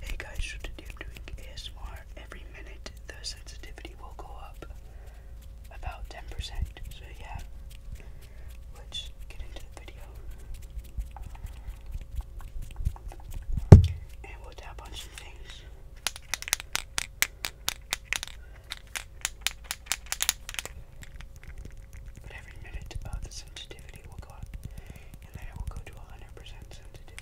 Hey guys, so today I'm doing ASMR. Every minute the sensitivity will go up about 10%. So yeah, let's get into the video. And we'll tap on some things. But every minute of uh, the sensitivity will go up, and then it will go to 100% sensitivity.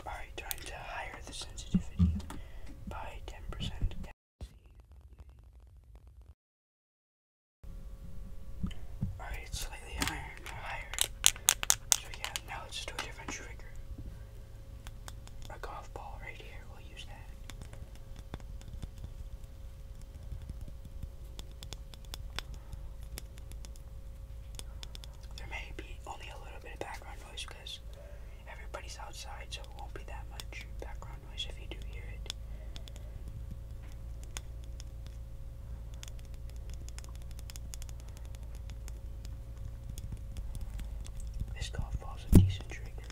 Alright, time to higher the sensitivity by 10%. Alright, slightly higher, higher. So yeah, now let's do a different trigger. A golf ball right here, we'll use that. There may be only a little bit of background noise because everybody's outside, so it won't be that much background noise if you do hear it. This call falls a decent trigger.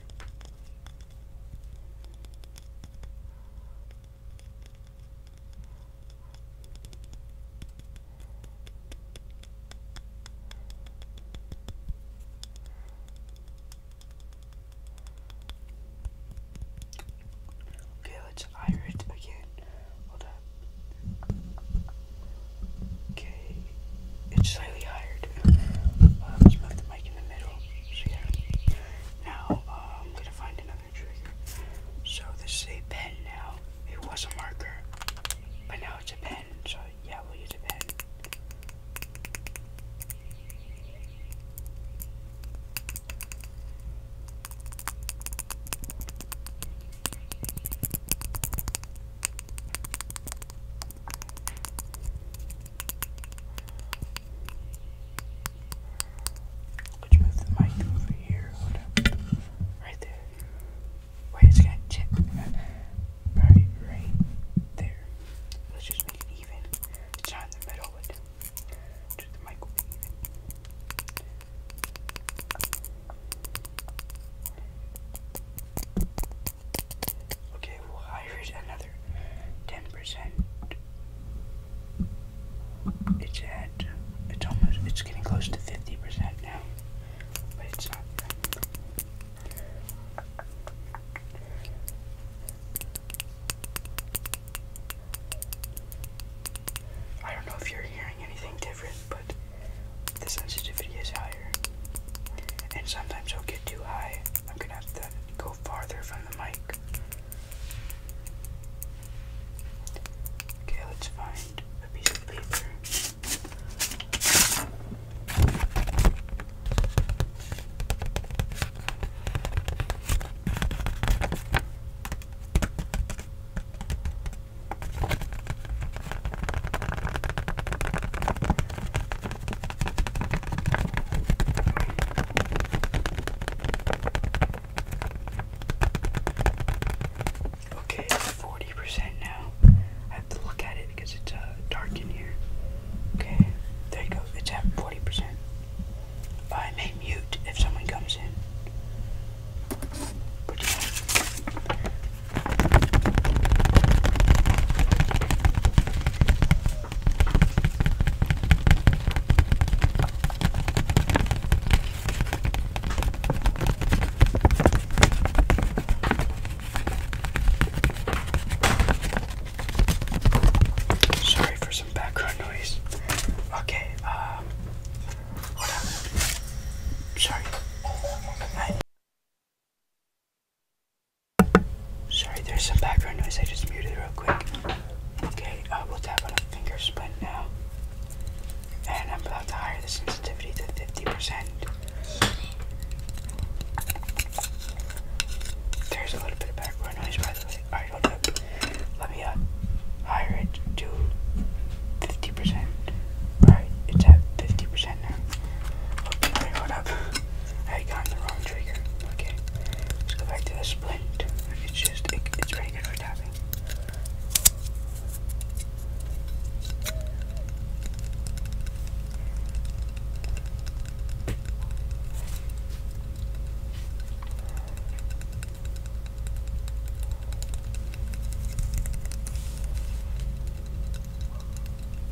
Okay, let's iron it again. Hold up. Okay it's slightly higher too. Um, just put the mic in the middle. So yeah. Now um, I'm gonna find another trigger. So this is a pen now. It was a marker, but now it's a pen. So yeah, we'll use a pen. Could you move the mic over here? Hold on. Right there. Wait, it's gonna tip. Right, right there. Let's just make it even. It's not in the middle, but just the mic will be even. Okay, well, here's another 10%. It's at, it's almost, it's getting close to 50% now, but it's not. I don't know if you're hearing anything different, but the sensitivity is higher. And sometimes it'll get too high. I'm gonna have to go farther from the mic. Okay, let's find a piece of paper. Okay, forty percent now. I have to look at it because it's uh, dark in here. Okay, there you go. It's at forty percent. I may mute if someone comes in. But yeah, Sorry for some background noise. Okay, um, Sorry. I Sorry, there's some background noise. I just muted real quick. Okay, I uh, will tap on a finger splint now. And I'm about to higher the sensitivity to 50%. There's a little bit of background noise, by the way. Alright, hold up. Let me uh, higher it to 50%. Alright, it's at 50% now. Okay, hold up. I got the wrong trigger. Okay, let's go back to the splint. It's just, it's pretty good for tapping.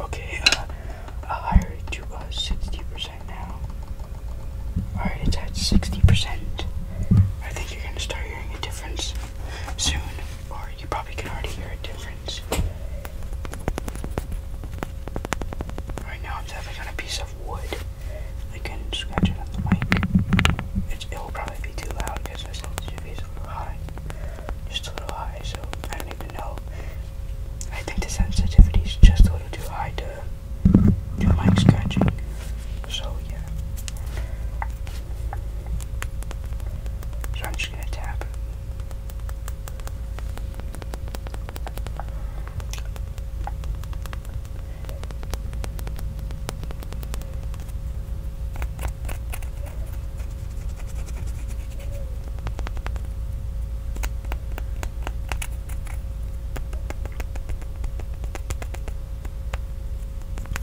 Okay, I'll hire it to uh, 60% now. Alright, it's at 60%. I think you're gonna start hearing a difference soon, or you probably can already hear a difference. Right now, I'm tapping on a piece of wood. I can scratch it on the mic. It's, it will probably be too loud because my sensitivity is a little high just a little high, so I don't even know. I think the sensitivity is just a little too high to do mic scratching. So yeah. So I'm just gonna tap.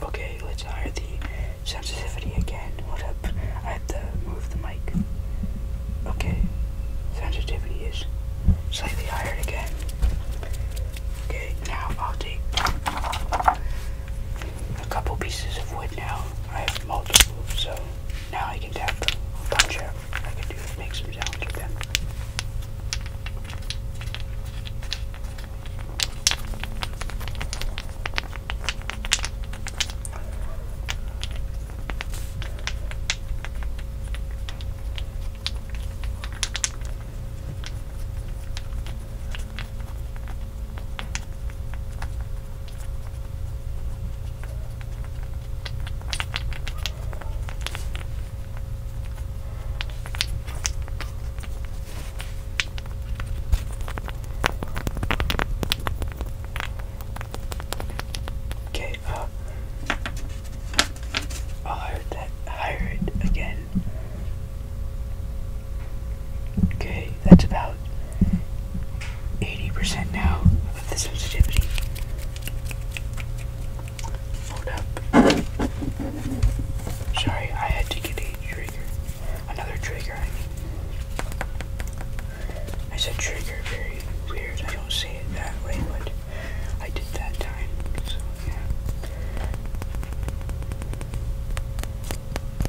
Okay, let's hire the sensitivity again. What up? I have to move the mic. Okay, sensitivity is slightly higher again. Okay, now I'll take a couple pieces of wood now. I have multiple, so now I can tap them, punch out. I can do make some sounds with them. Okay, uh, I'll hire it again. Okay, that's about 80% now of the sensitivity. Hold up. Sorry, I had to get a trigger. Another trigger, I said trigger, very weird. I don't say it that way, but I did that time. So, yeah.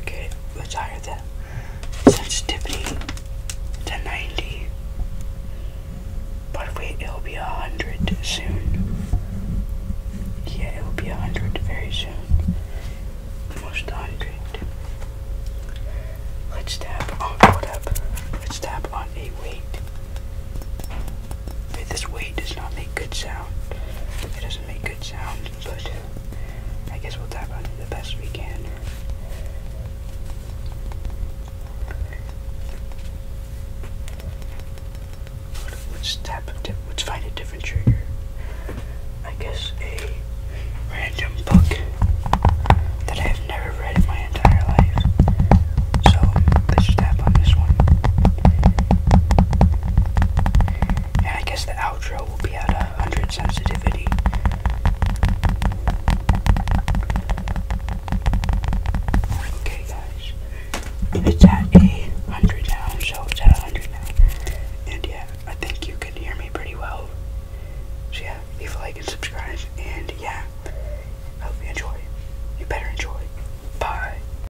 Okay, let's higher the sensitivity to 90. But wait, it'll be 100 soon. Yeah, it'll be 100 very soon. Almost 100. Let's tap on, hold up. Let's tap on a weight. Wait, this weight does not make good sound. It doesn't make good sound, but I guess we'll tap on the best we can. Let's tap. Let's find a different trigger. I guess a random book that I have never read in my entire life. So let's tap on this one. I guess the outro will be at 100 sensitivity. Okay, guys. It's at 100 now, so it's at 100 now. And yeah, I think you can hear me pretty well. So yeah, leave a like and subscribe. And yeah, hope you enjoy. You better enjoy. Bye.